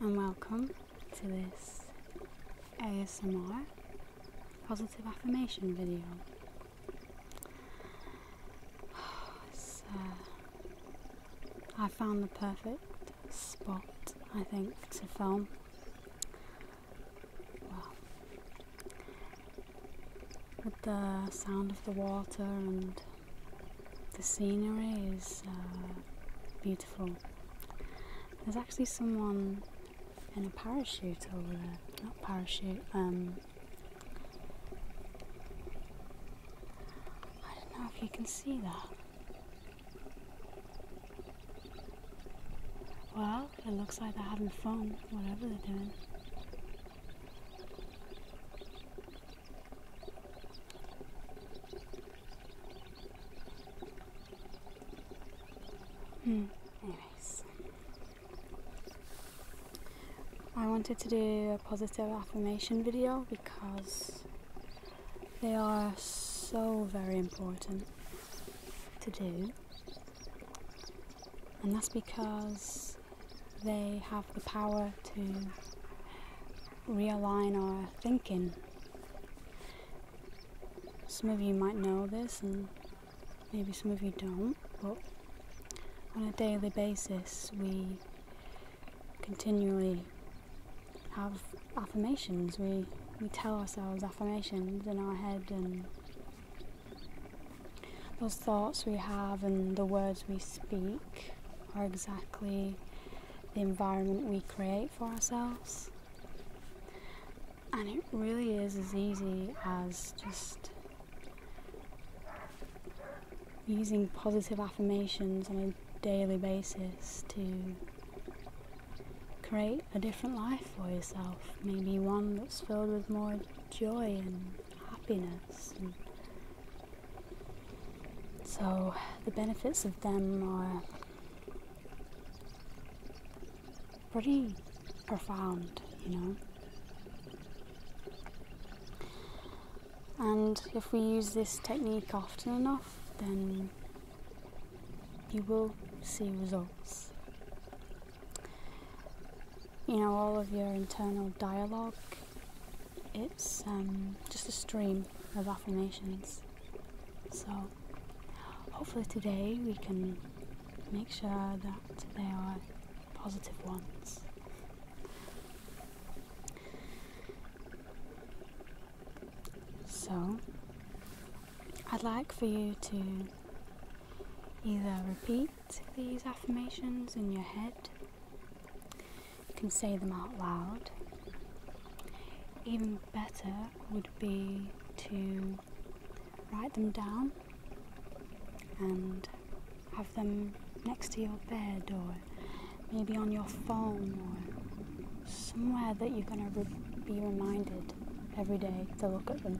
and welcome to this ASMR positive affirmation video. I found the perfect spot, I think, to film Wow. With the sound of the water and the scenery is uh, beautiful. There's actually someone in a parachute over there. Not parachute, um, I don't know if you can see that. Well, it looks like they're having fun, whatever they're doing. Hmm, anyways. I wanted to do a positive affirmation video because they are so very important to do. And that's because they have the power to realign our thinking. Some of you might know this, and maybe some of you don't, but on a daily basis, we continually have affirmations. We we tell ourselves affirmations in our head and those thoughts we have and the words we speak are exactly the environment we create for ourselves. And it really is as easy as just using positive affirmations on a daily basis to create a different life for yourself, maybe one that's filled with more joy and happiness. so the benefits of them are pretty profound, you know. And if we use this technique often enough, then you will see results. You know, all of your internal dialogue, it's um, just a stream of affirmations. So, hopefully, today we can make sure that they are positive ones. So, I'd like for you to either repeat these affirmations in your head, you can say them out loud. Even better would be to write them down and have them next to your bed or maybe on your phone or somewhere that you're going to be reminded every day to look at them.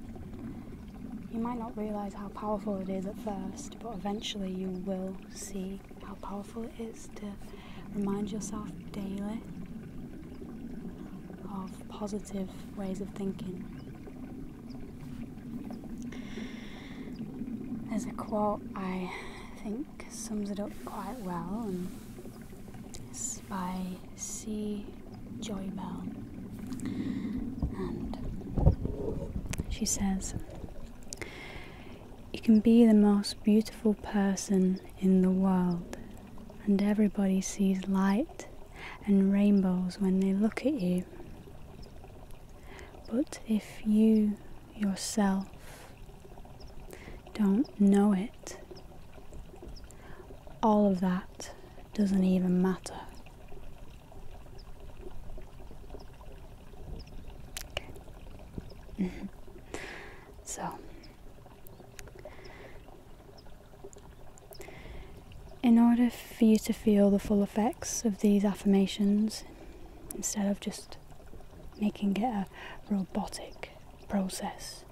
You might not realise how powerful it is at first, but eventually you will see how powerful it is to remind yourself daily of positive ways of thinking. There's a quote I think sums it up quite well, and it's by C. Joy Bell. And she says, You can be the most beautiful person in the world, and everybody sees light and rainbows when they look at you. But if you yourself don't know it, all of that doesn't even matter. so, in order for you to feel the full effects of these affirmations, instead of just making it a robotic process,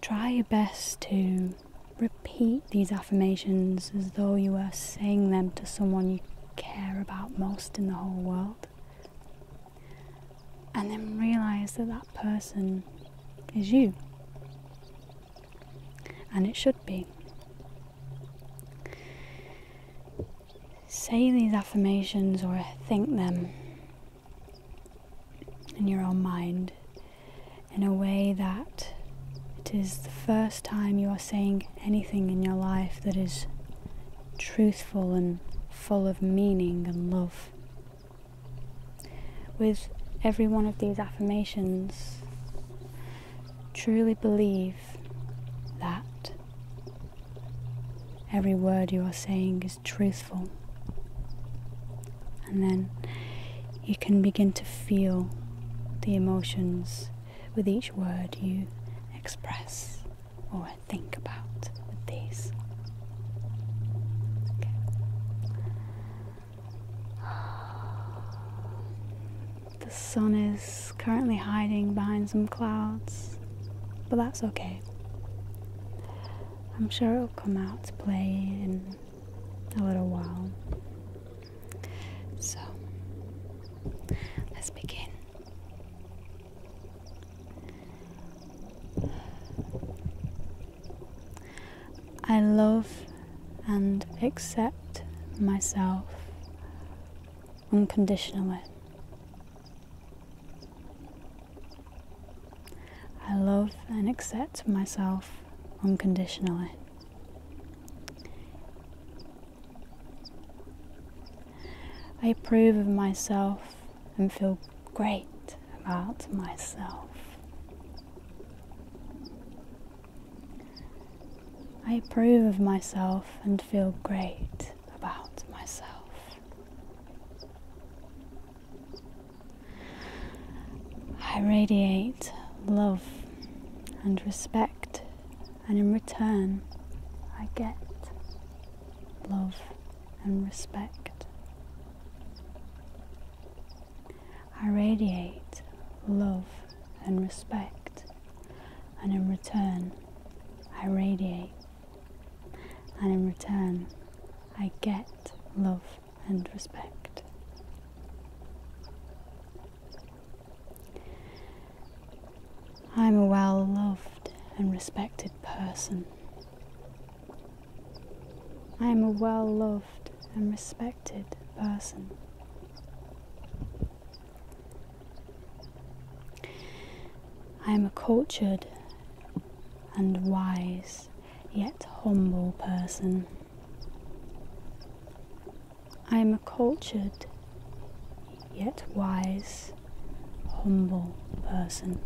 try your best to repeat these affirmations as though you were saying them to someone you care about most in the whole world. And then realize that that person is you. And it should be. Say these affirmations or think them in your own mind in a way that it is the first time you are saying anything in your life that is truthful and full of meaning and love. With every one of these affirmations, truly believe that every word you are saying is truthful. And then you can begin to feel the emotions with each word you express or think about with these. The sun is currently hiding behind some clouds, but that's okay. I'm sure it'll come out to play in a little while. So, let's begin. I love and accept myself unconditionally. I love and accept myself unconditionally. I approve of myself and feel great about myself. I approve of myself and feel great about myself. I radiate love and respect, and in return, I get love and respect. I radiate love and respect, and in return, I radiate, and in return, I get love and respect. I'm a well loved and respected person. I am a well loved and respected person. I am a cultured and wise yet humble person. I am a cultured yet wise, humble person.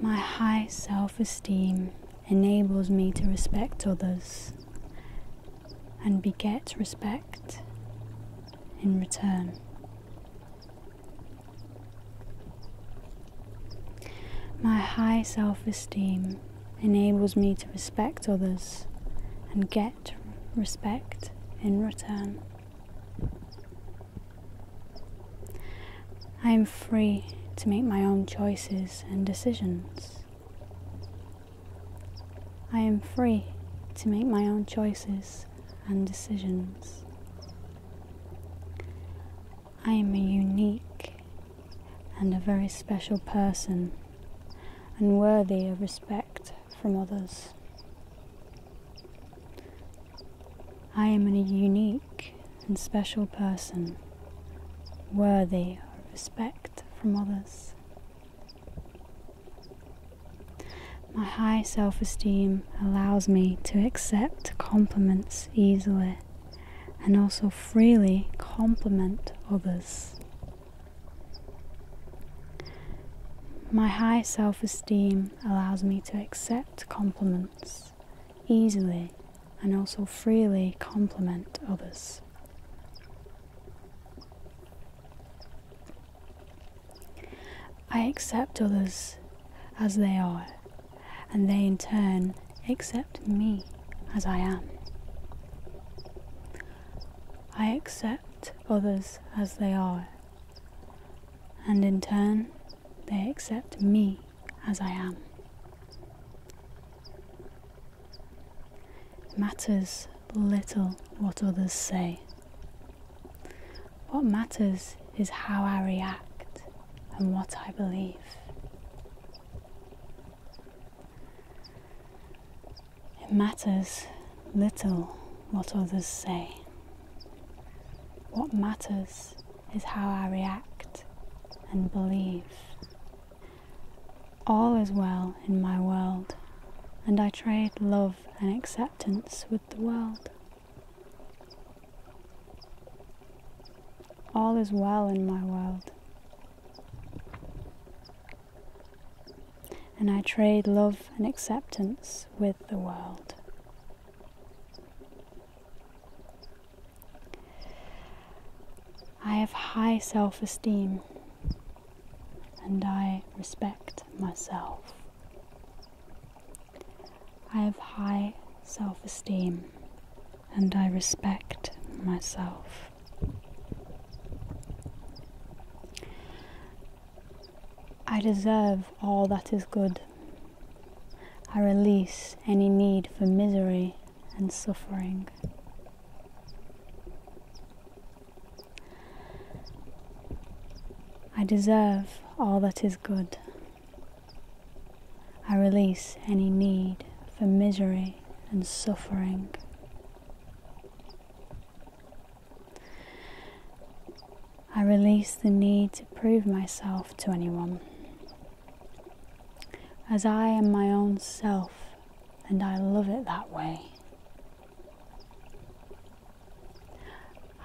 My high self esteem enables me to respect others and beget respect in return. My high self esteem enables me to respect others and get respect in return. I am free to make my own choices and decisions. I am free to make my own choices and decisions. I am a unique and a very special person and worthy of respect from others. I am a unique and special person worthy of respect from others. My high self esteem allows me to accept compliments easily and also freely compliment others. My high self esteem allows me to accept compliments easily and also freely compliment others. I accept others as they are, and they in turn accept me as I am. I accept others as they are, and in turn they accept me as I am. matters little what others say. What matters is how I react and what I believe. It matters little what others say. What matters is how I react and believe. All is well in my world, and I trade love and acceptance with the world. All is well in my world. And I trade love and acceptance with the world. I have high self esteem and I respect myself. I have high self esteem and I respect myself. I deserve all that is good. I release any need for misery and suffering. I deserve all that is good. I release any need for misery and suffering. I release the need to prove myself to anyone. As I am my own self, and I love it that way.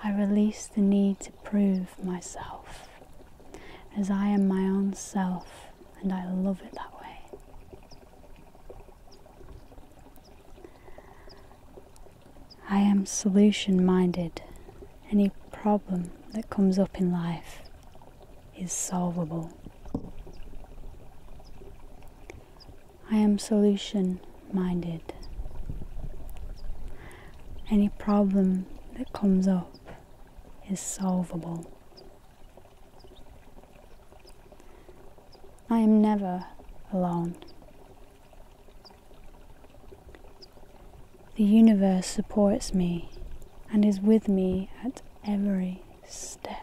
I release the need to prove myself as I am my own self and I love it that way. I am solution minded. Any problem that comes up in life is solvable. I am solution minded. Any problem that comes up is solvable. I am never alone. The universe supports me and is with me at every step.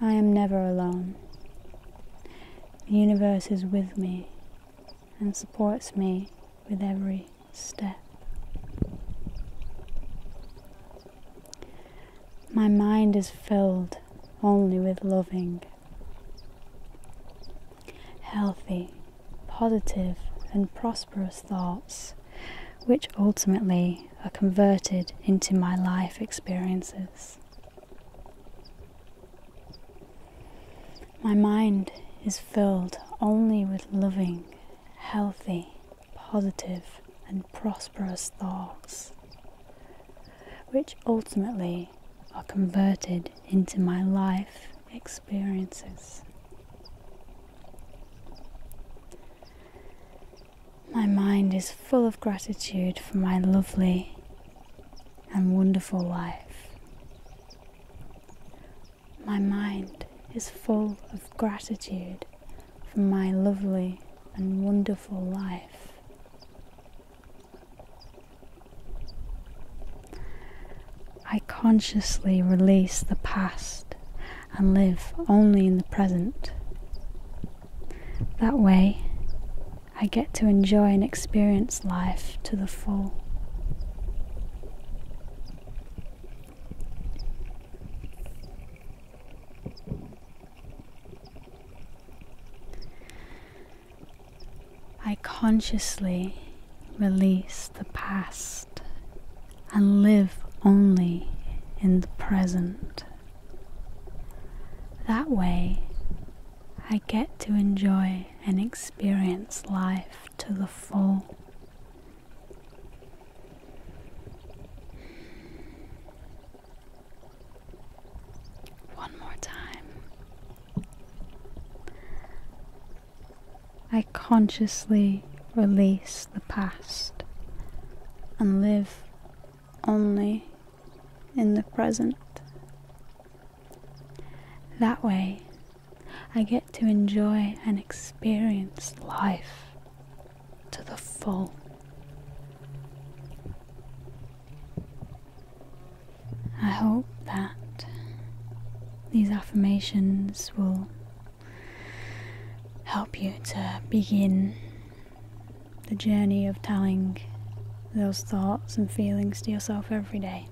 I am never alone. The universe is with me and supports me with every step. My mind is filled only with loving, healthy, positive, and prosperous thoughts, which ultimately are converted into my life experiences. My mind is filled only with loving, healthy, positive, and prosperous thoughts, which ultimately are converted into my life experiences. My mind is full of gratitude for my lovely and wonderful life. My mind is full of gratitude for my lovely and wonderful life. I consciously release the past and live only in the present. That way, I get to enjoy and experience life to the full. I consciously release the past and live only in the present that way, I get to enjoy and experience life to the full. One more time. I consciously release the past and live only in the present. That way, I get to enjoy and experience life to the full. I hope that these affirmations will help you to begin the journey of telling those thoughts and feelings to yourself every day.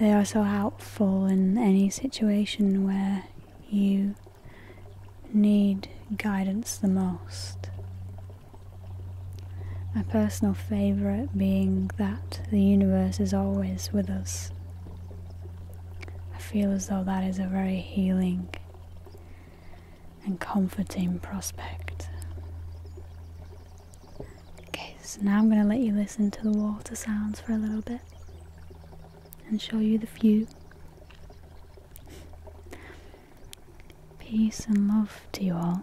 They are so helpful in any situation where you need guidance the most. My personal favourite being that the universe is always with us. I feel as though that is a very healing and comforting prospect. Okay, so now I'm going to let you listen to the water sounds for a little bit and show you the view. Peace and love to you all.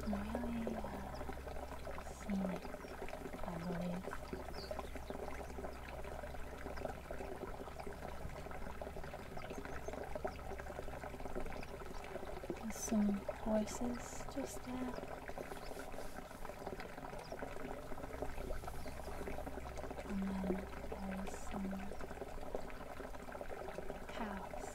really uh, scenic, I believe. There's some horses just there. some cows.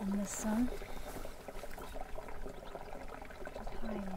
and the sun just hiding down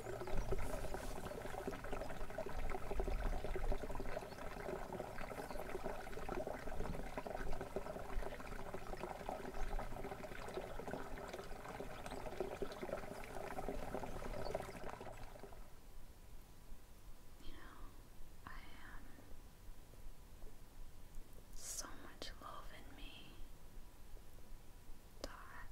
You know, I am so much love in me. Dot.